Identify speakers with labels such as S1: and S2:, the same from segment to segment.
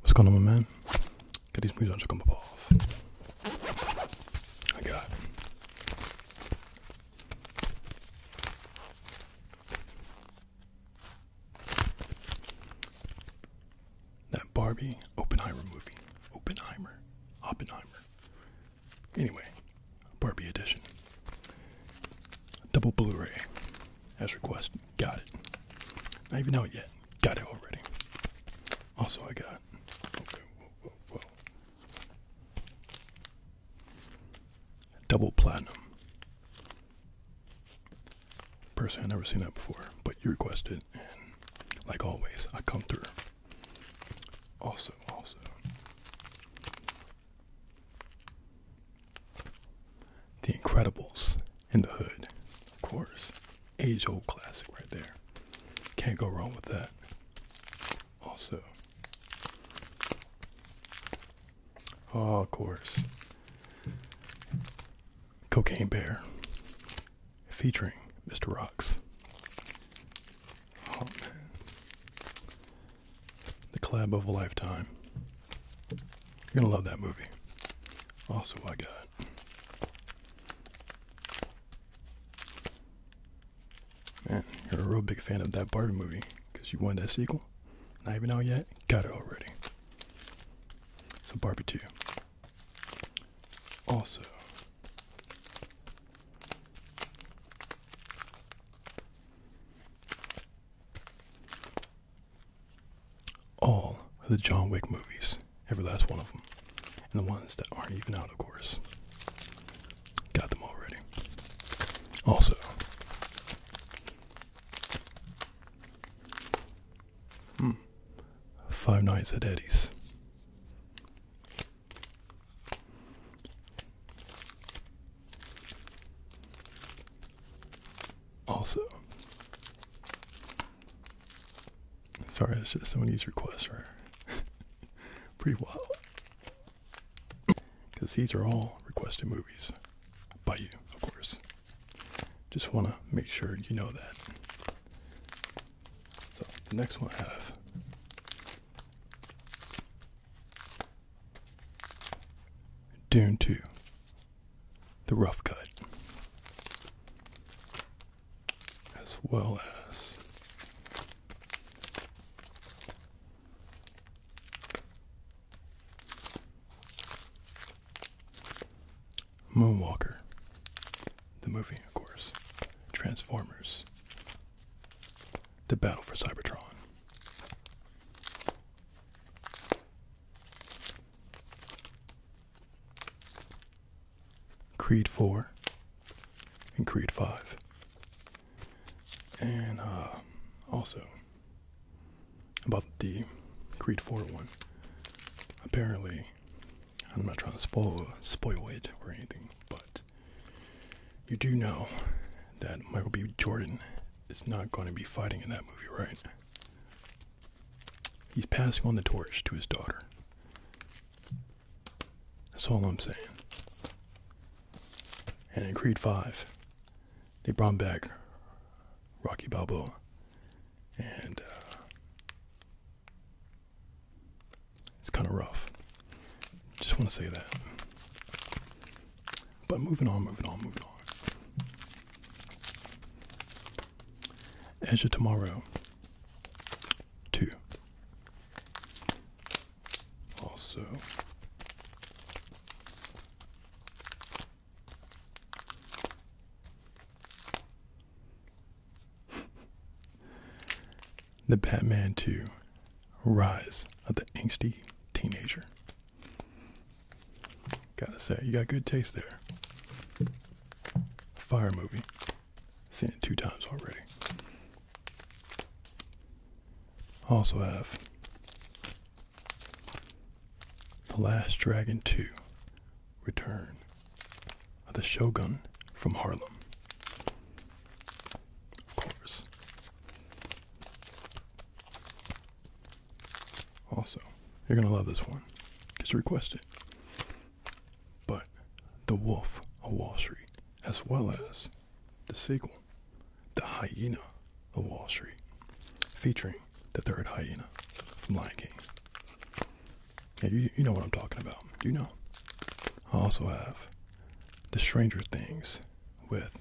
S1: What's going on, my man? Get these movies on to come off. I got That Barbie Open Oppenheimer movie. Oppenheimer. Oppenheimer. Anyway, Barbie edition. Double Blu ray. As requested. Got it. Not even know it yet. Got it already. Also, I got. Double platinum. Personally, i never seen that before, but you requested, and like always, I come through. Also, also. The Incredibles in the hood. Of course. Age old classic right there. Can't go wrong with that. Also. Oh, of course. Cocaine Bear featuring Mr. Rocks. Oh man. The club of a lifetime. You're gonna love that movie. Also, I got man, you're a real big fan of that Barbie movie because you won that sequel. Not even out yet. Got it already. So Barbie two. Also all of the John Wick movies, every last one of them, and the ones that aren't even out, of course. Got them already. Also, hmm, Five Nights at Eddie's. Also, Sorry, it's just some of these requests are pretty wild. Because these are all requested movies by you, of course. Just want to make sure you know that. So, next one I have Dune 2 the rough cut, as well as Moonwalker, the movie, of course, Transformers, The Battle for Cybertron. Creed 4 and Creed 5. And uh, also, about the Creed 4 one, apparently, I'm not trying to spoil, spoil it or anything, but you do know that Michael B. Jordan is not going to be fighting in that movie, right? He's passing on the torch to his daughter. That's all I'm saying. And in Creed 5, they brought back Rocky Balboa. And uh, it's kind of rough. Just want to say that. But moving on, moving on, moving on of Tomorrow 2. Also, The Batman 2 Rise of the Angsty Teenager. Gotta say, you got good taste there. Fire movie. Seen it two times already. Also have The Last Dragon 2 Return of the Shogun from Harlem. Of course. Also, you're gonna love this one. Just request it. But The Wolf of Wall Street, as well as the sequel, The Hyena of Wall Street, featuring the third hyena from Lion King. you, you know what I'm talking about. do You know. I also have The Stranger Things with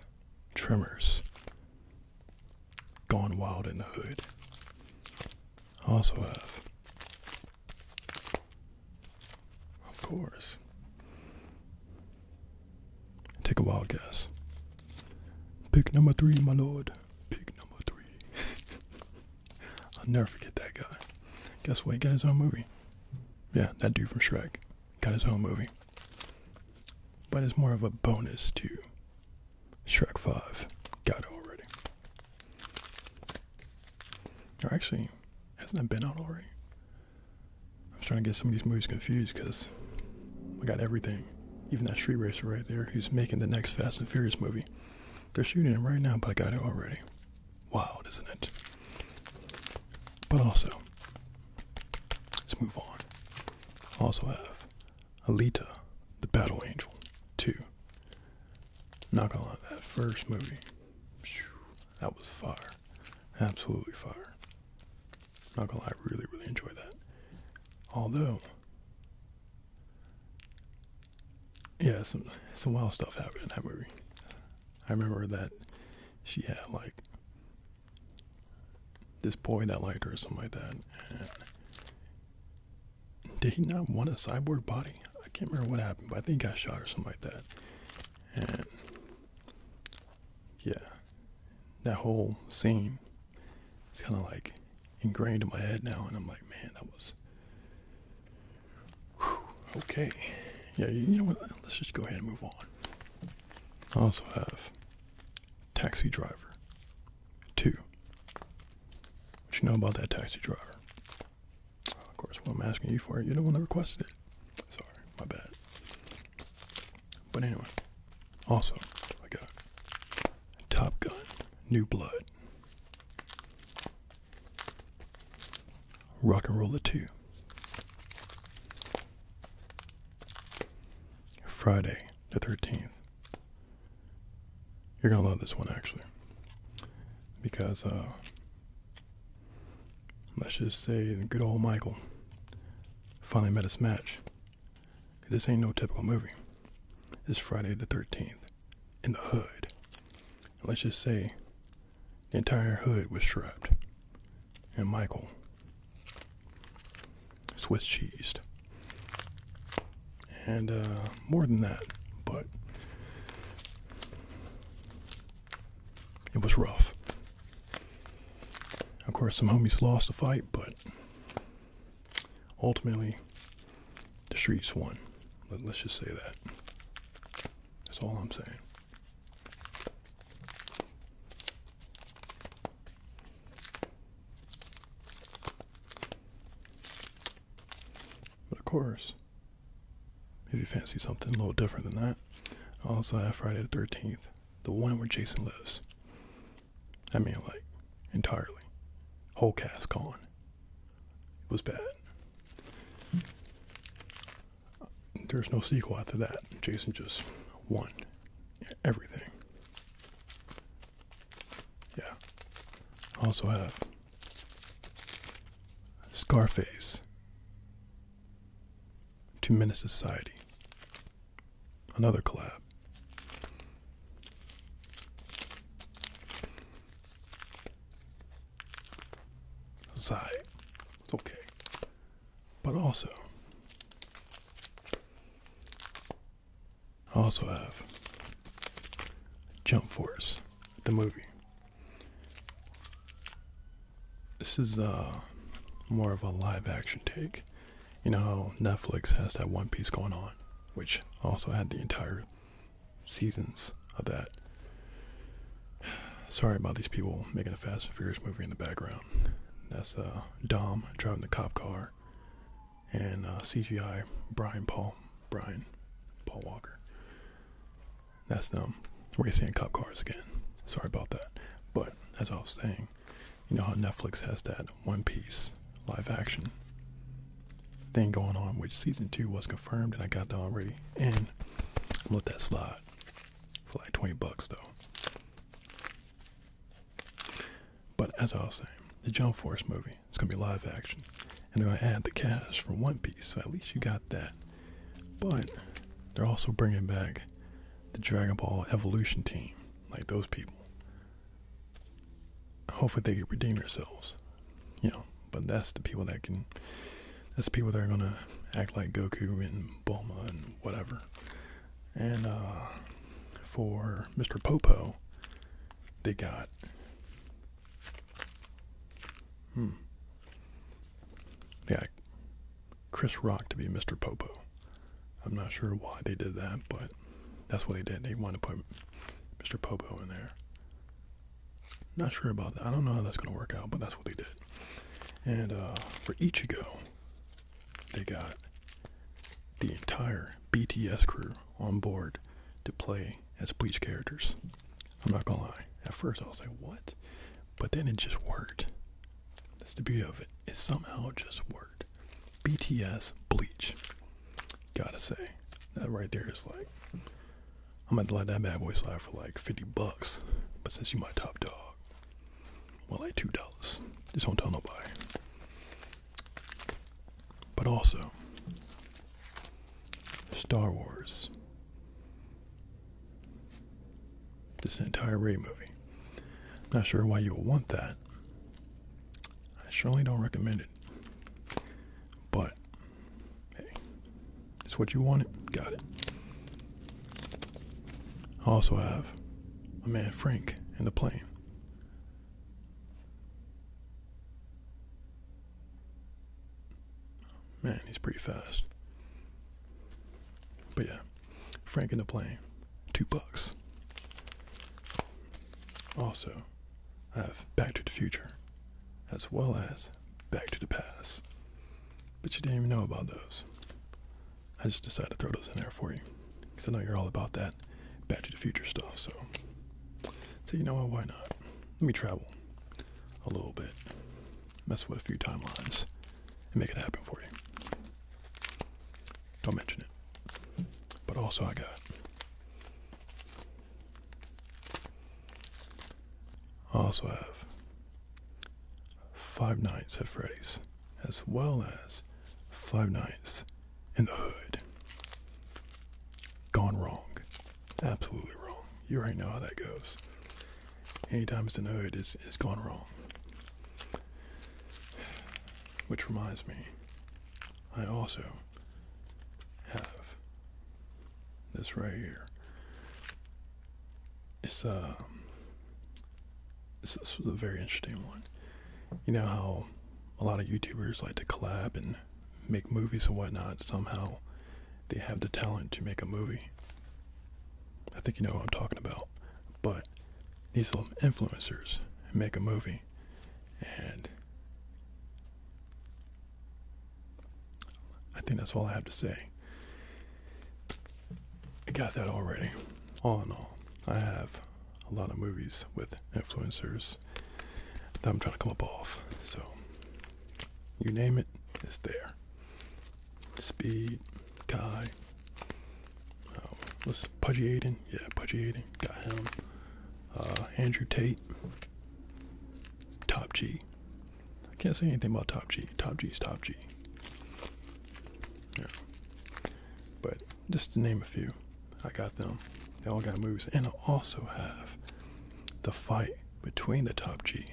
S1: Tremors Gone Wild in the Hood. I also have, of course. Take a wild guess. Pick number three, my lord. Pick number three. I'll never forget that guy. Guess what? He got his own movie. Yeah, that dude from Shrek got his own movie. But it's more of a bonus too. Shrek 5. Got it already. Or actually, hasn't that been out already? I was trying to get some of these movies confused because I got everything. Even that street racer right there who's making the next Fast and Furious movie. They're shooting it right now, but I got it already. Wild, isn't it? But also, let's move on. Also have Alita, The Battle Angel 2. Not gonna lie, that first movie, that was fire. Absolutely fire. Not gonna lie, I really, really enjoy that. Although, yeah, some, some wild stuff happened in that movie. I remember that she had like this boy that liked her or something like that. Did he not want a cyborg body? I can't remember what happened, but I think he got shot or something like that. And yeah, that whole scene is kind of like ingrained in my head now, and I'm like, man, that was okay. Yeah, you know what? Let's just go ahead and move on. I also have Taxi Driver. Two. What you know about that Taxi Driver? Of course, what I'm asking you for you're the one that requested it. Sorry, my bad. But anyway, also, I got Top Gun, New Blood, Rock and Roller 2, Friday the 13th, you're gonna love this one actually, because uh, let's just say good old Michael finally met his match. This ain't no typical movie. It's Friday the 13th in the hood. let's just say the entire hood was shrouded, and Michael Swiss cheesed. And uh, more than that, but it was rough. Of course, some homies lost a fight, but ultimately, the streets won. let's just say that. That's all I'm saying. But of course, if you fancy something a little different than that, I also have Friday the 13th, the one where Jason lives. I mean, like, entirely. Whole cast gone. It was bad. There's no sequel after that. Jason just won everything. Yeah. I also have Scarface to Menace Society. Another collab. Sigh. It's okay. But also I also have Jump Force, the movie. This is uh, more of a live action take. You know how Netflix has that One Piece going on, which also had the entire seasons of that. Sorry about these people making a Fast and Furious movie in the background. That's a uh, Dom driving the cop car and uh, CGI Brian Paul Brian Paul Walker. That's them We're gonna see in cop cars again. Sorry about that, but as I was saying, you know how Netflix has that One Piece live action thing going on, which season two was confirmed, and I got that already. And I let that slide for like twenty bucks though. But as I was saying, the Jump Force movie, it's gonna be live action. And they're gonna add the cast from One Piece, so at least you got that. But they're also bringing back the Dragon Ball Evolution team, like those people. Hopefully they can redeem themselves, you know. But that's the people that can. That's the people that are gonna act like Goku and Bulma and whatever. And uh, for Mr. Popo, they got. Hmm, yeah, Chris Rock to be Mr. Popo. I'm not sure why they did that, but that's what they did. They wanted to put Mr. Popo in there. Not sure about that. I don't know how that's going to work out, but that's what they did. And uh, for Ichigo, they got the entire BTS crew on board to play as Bleach characters. I'm not gonna lie. At first, I was like, "What?" But then it just worked. That's the beauty of it. It somehow just worked. BTS Bleach. Gotta say, that right there is like, I'm gonna let that bad boy slide for like 50 bucks. But since you my top dog, well, like two dollars. Just don't tell nobody. But also, Star Wars. This entire Ray movie. Not sure why you would want that. I surely don't recommend it. But, hey, it's what you wanted. Got it. I also have a man Frank in the plane. Man, he's pretty fast. But yeah, Frank in the plane, two bucks. Also, I have Back to the Future, as well as Back to the Past. But you didn't even know about those. I just decided to throw those in there for you because I know you're all about that back to the future stuff. So, so you know what? Why not? Let me travel a little bit, mess with a few timelines, and make it happen for you. Don't mention it. But also, I got. I also have Five Nights at Freddy's, as well as Five Nights in the hood. Gone wrong. Absolutely wrong. You already know how that goes. Anytime it's in the hood, it's, it's gone wrong. Which reminds me, I also have this right here. It's, a. Uh, this, was a very interesting one. You know how a lot of YouTubers like to collab and make movies and whatnot. Somehow they have the talent to make a movie. I think you know what I'm talking about. But these little influencers make a movie and I think that's all I have to say. I got that already. All in all, I have a lot of movies with influencers that I'm trying to come up off. So you name it, it's there. Speed, Guy, um, Was let Pudgy Aiden, yeah, Pudgy Aiden, got him. Uh, Andrew Tate, Top G. I can't say anything about Top G. Top G is Top G. Yeah. But just to name a few. I got them. They all got moves. And I also have the fight between the Top G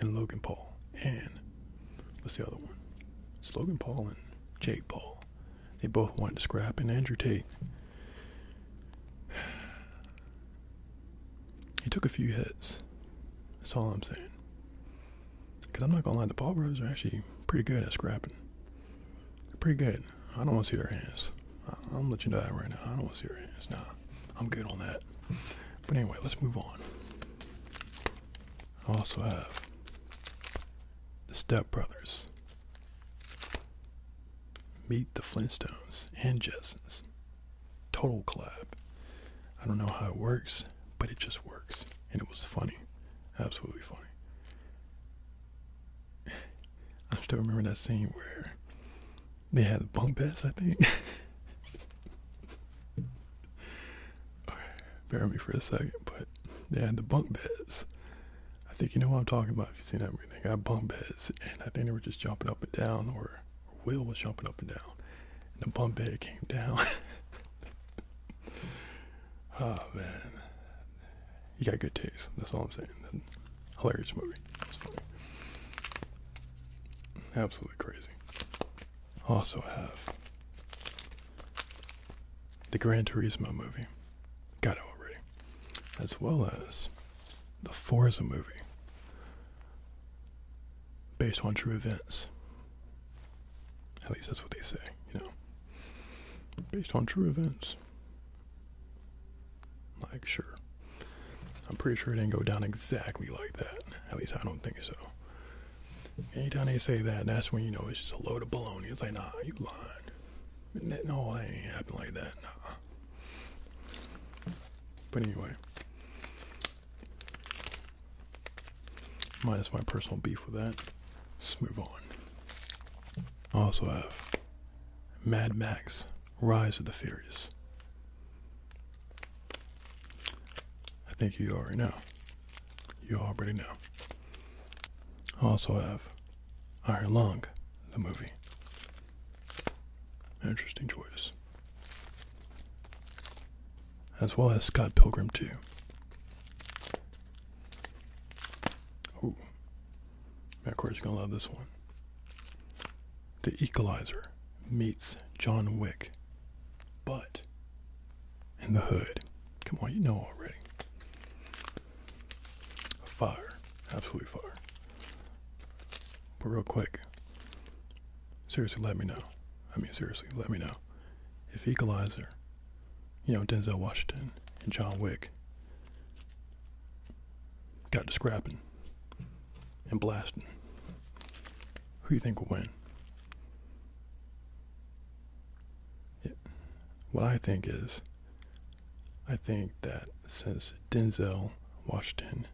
S1: and Logan Paul. And what's the other one? Logan Paul and Jake Paul. They both wanted to scrap, and Andrew Tate. He took a few hits. That's all I'm saying. Because I'm not going to lie, the Paul brothers are actually pretty good at scrapping. Pretty good. I don't want to see their hands. I'm gonna let you know that right now. I don't want to see their hands. Nah, I'm good on that. But anyway, let's move on. I also have the Step Brothers, Meet the Flintstones, and Jetsons. Total collab. I don't know how it works, but it just works, and it was funny. Absolutely funny. I still remember that scene where they had bunk beds, I think. okay, bear with me for a second, but they had the bunk beds. I think you know what I'm talking about if you've seen that movie. They got bunk beds, and I think they were just jumping up and down, or Will was jumping up and down, and the bunk bed came down. Oh man, you got good taste. That's all I'm saying. Hilarious movie. Absolutely crazy. Also have the Gran Turismo movie. Got it already. As well as the Forza movie. Based on true events. At least that's what they say, you know. Based on true events. Like, sure. I'm pretty sure it didn't go down exactly like that. At least I don't think so. Anytime they say that, that's when you know it's just a load of baloney. It's like, nah, you lied. That, no, that ain't happen like that. Nah. But anyway, Minus my personal beef with that. Let's move on. I also have Mad Max Rise of the Furious. I think you already know. You already know. I also have Iron Lung, the movie. Interesting choice. As well as Scott Pilgrim 2. Oh, Matt's gonna love this one. The Equalizer meets John Wick, but in the hood. Come on, you know already. Fire, absolutely fire. But real quick, seriously, let me know. I mean, seriously, let me know if Equalizer you know, Denzel Washington and John Wick got to scrapping and blasting, who you think will win? What I think is, I think that since Denzel Washington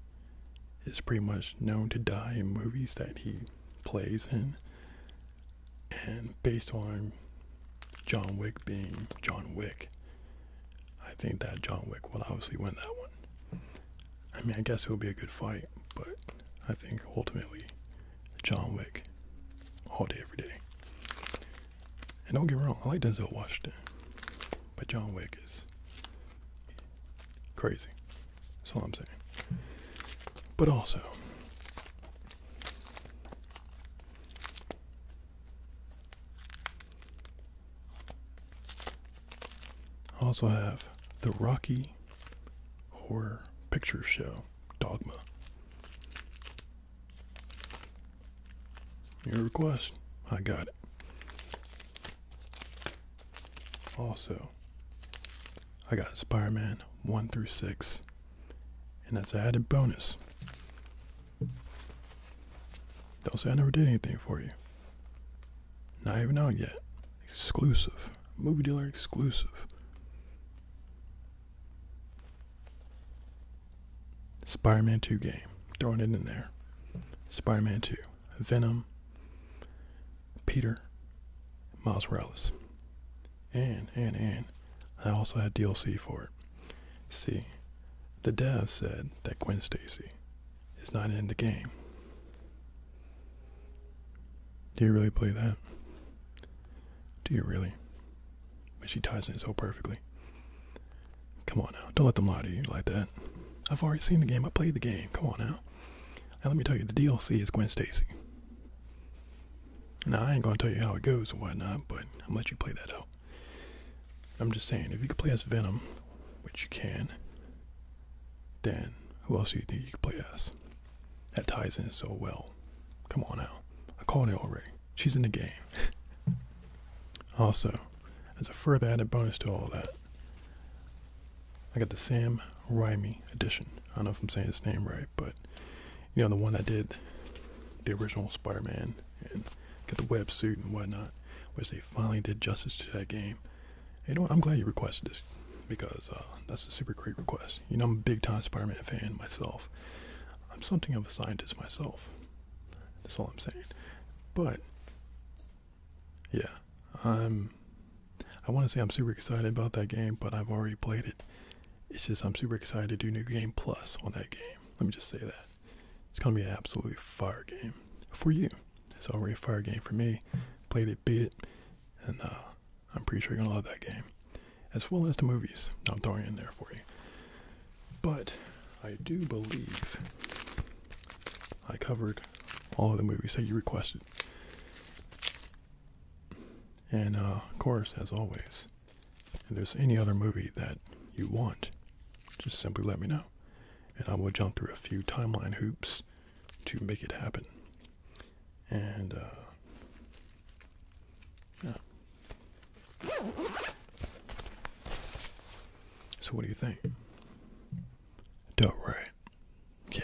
S1: is pretty much known to die in movies that he plays in, and based on John Wick being John Wick, I think that John Wick will obviously win that one. I mean, I guess it will be a good fight, but I think ultimately John Wick all day, every day. And don't get me wrong, I like Denzel Washington, but John Wick is crazy. That's all I'm saying. But also, I also have the Rocky Horror Picture Show Dogma. Your request, I got it. Also, I got Spider Man 1 through 6, and that's added bonus. those not say I never did anything for you. Not even out yet. Exclusive. Movie dealer exclusive. Spider Man 2 game. Throwing it in there. Spider Man 2. Venom. Peter. Miles Morales and and and I also had DLC for it. See, the devs said that Gwen Stacy is not in the game. Do you really play that? Do you really? But she ties in so perfectly. Come on now, don't let them lie to you like that. I've already seen the game. I played the game. Come on now. Now let me tell you, the DLC is Gwen Stacy. Now, I ain't gonna tell you how it goes and whatnot, but I'm let you play that out. I'm just saying, if you could play as Venom, which you can, then who else do you think you could play as? That ties in so well. Come on now. I called it already. She's in the game. also, as a further added bonus to all that, I got the Sam Raimi edition. I don't know if I'm saying his name right, but you know the one that did the original Spider-Man and got the web suit and whatnot, which they finally did justice to that game. You know, I'm glad you requested this because uh, that's a super great request. You know, I'm a big-time Spider-Man fan myself. I'm something of a scientist myself. That's all I'm saying. But yeah, I'm. I want to say I'm super excited about that game, but I've already played it, it's just I'm super excited to do New Game Plus on that game. Let me just say that. It's gonna be an absolutely fire game for you. It's already a fire game for me. Played it, beat it, and uh, I'm pretty sure you're gonna love that game. As well as the movies I'm throwing in there for you. But I do believe I covered all of the movies that you requested. And uh, of course, as always, if there's any other movie that you want, just simply let me know. And I will jump through a few timeline hoops to make it happen. And, uh, yeah. So, what do you think? Dope, right? Yeah.